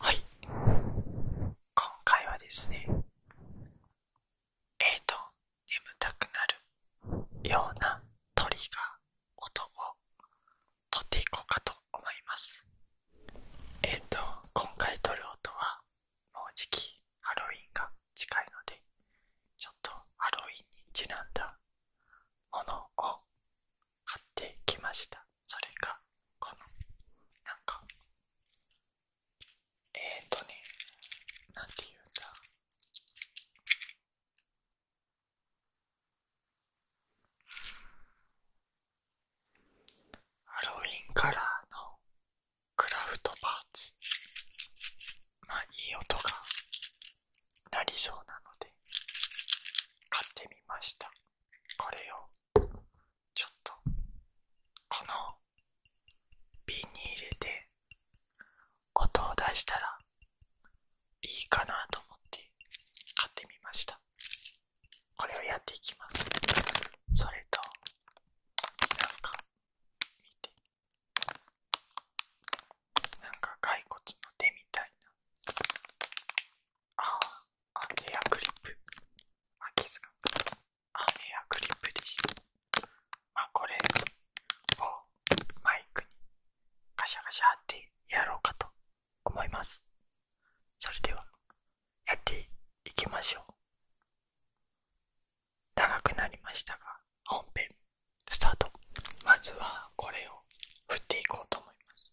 はい。今回はですね、えっと、眠たくなるようなトリガー音をとっていこうかと思います。えっと、今回撮る音は、もうじきハロウィンが近いので、ちょっとハロウィンにちなんだものを買ってきましたそれがこのなんかえっ、とねなんていうんだハロウィンカラーのクラフトパーツまあいい音がなりそうなので買ってみましたこれをちょっとこの瓶に入れて音を出したらいいかなと思って買ってみましたこれをやっていきますそれとなんか見てなんか骸骨の手みたいなあああ、エアクリップ。あ、キスが。クリップでしまあ、これをマイクにガシャガシャってやろうかと思います。それでは、やっていきましょう。長くなりましたが、本編スタート。まずはこれを振っていこうと思います。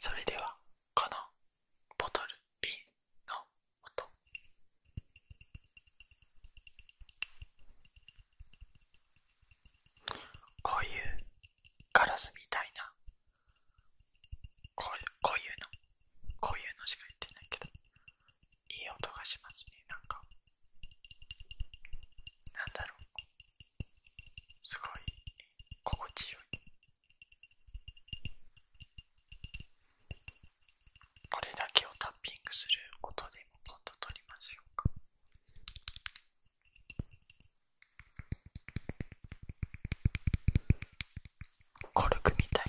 それではこのボトル瓶の音こういうガラスみたいなこういうのこういうのしか言ってないけどいい音がしますねなんかなんだろうすごい心地よいこれだけをタッピングする音でも今度撮りましょうか。軽くクみたいな。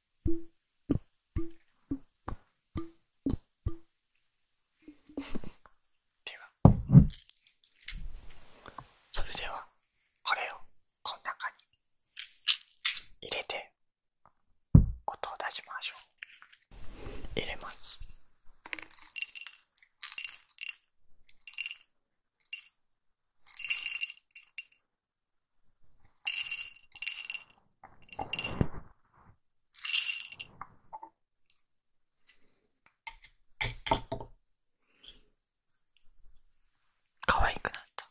ではそれではこれをこの中に入れて音を出しましょう入れますかわいくなった。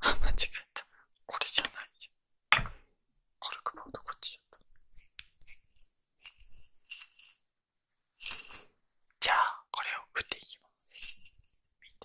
間違えた。これじゃないじゃん。コルクボードこっちだった。じゃあこれを振っていきます見て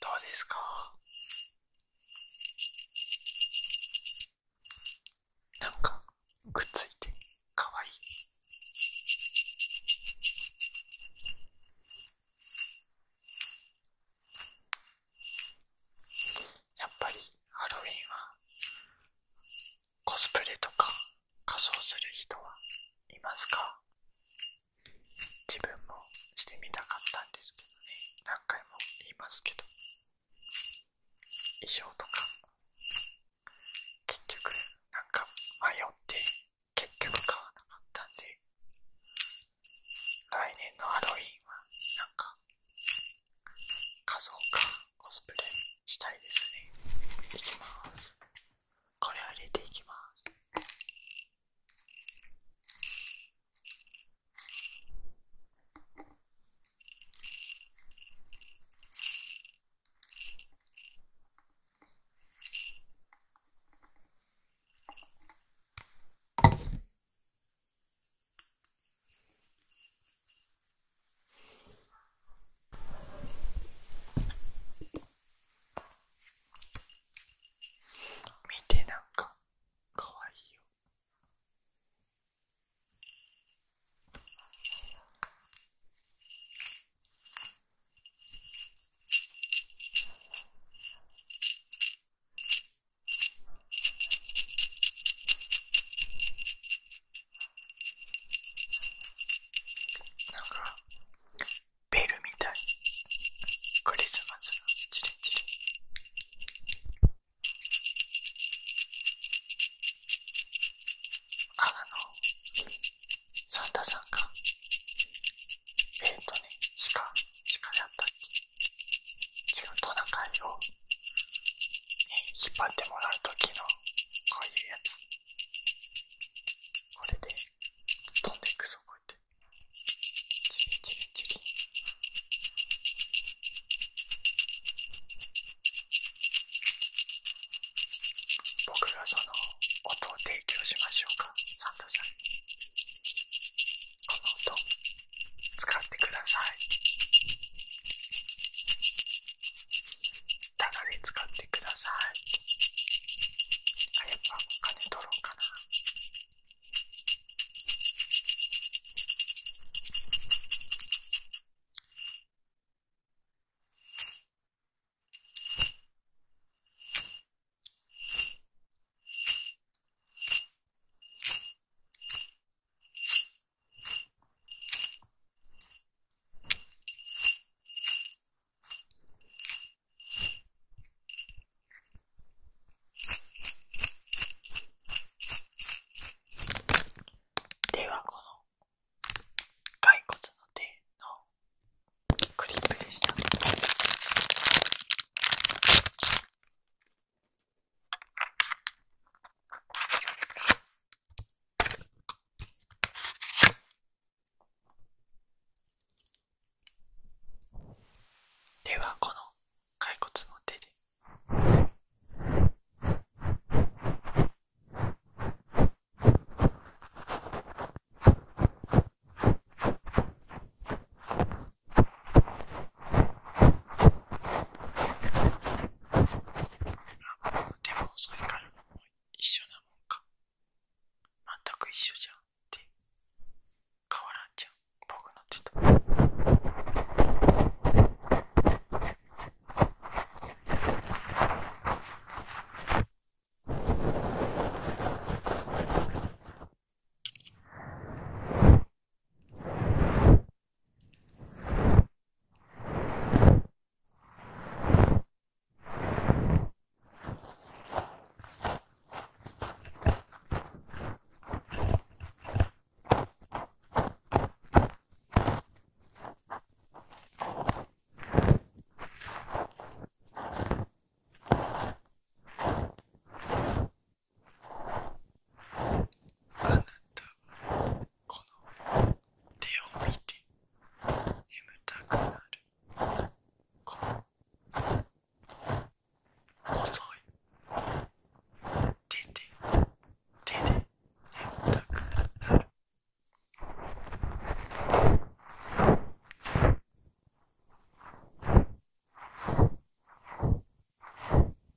どうですかなんかくっついてかわいいやっぱりハロウィンはコスプレとか仮装する人はいますか自分もしてみたかったんですけどね何回も言いますけど衣装とか結局なんか迷って結局買わなかったんで来年のハロウィンはなんか仮装かコスプレしたいですねいきますこれを入れていきます。見てなんかかわいいよなんかベルみたいクリスマスのチリチリああのサンタさんがベえっ、ー、とね鹿鹿だったっけ違うトナカイを、引っ張ってもらう時のこういうやつこれで飛んでいくぞこうやってチリチリチリ僕がその音を提供しましょうかサンタさんこの音使ってくださいただで使ってくださいあやっぱお金取ろうかなではこの骸骨の手のクリップでした。ではこの骸骨の手で。でもそれからも一緒なもんか全く一緒じゃんって変わらんじゃん僕のちょっとあなたこの手を見て眠たくなるこの細い手で手で眠たくなる「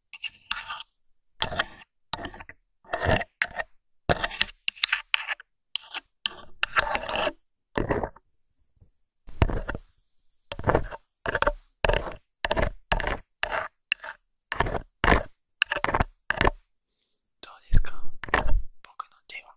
どうですか僕の手は。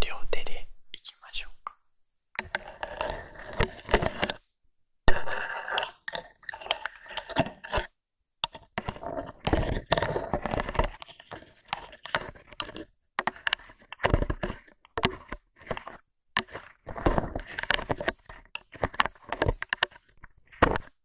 両手でいきましょうか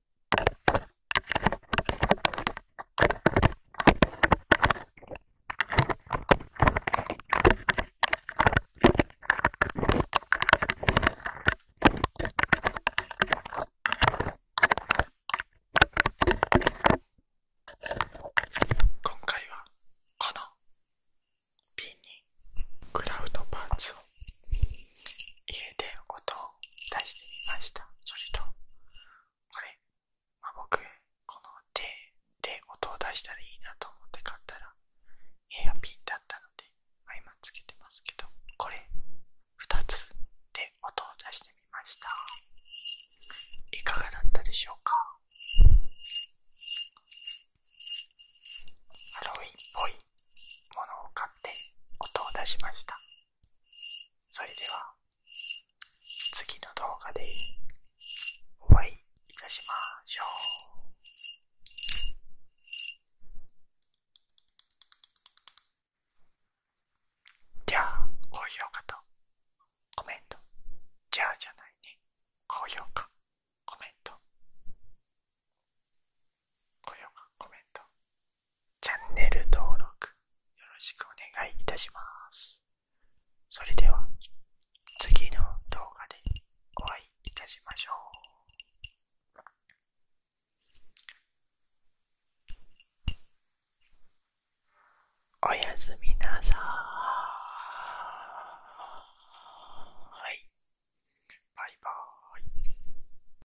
今回はこのピンにクラウドパーツを入れて音を出してみましたそれとこれ、まあ、僕、この手で音を出したらいいなと思って買ったら、エアピンだったので、まあ、今つけてますけど、これ、2つで音を出してみました。いかがだったでしょうかハロウィンっぽいものを買って音を出しました。それでは、次の動画でお会いいたしましょう。じゃあ、高評価とコメント。じゃあじゃないね。高評価、コメント。高評価、コメント、チャンネル登録よろしくお願いいたします。それでは次の動画でお会いいたしましょう。おやすみなさーい。バイバーイ。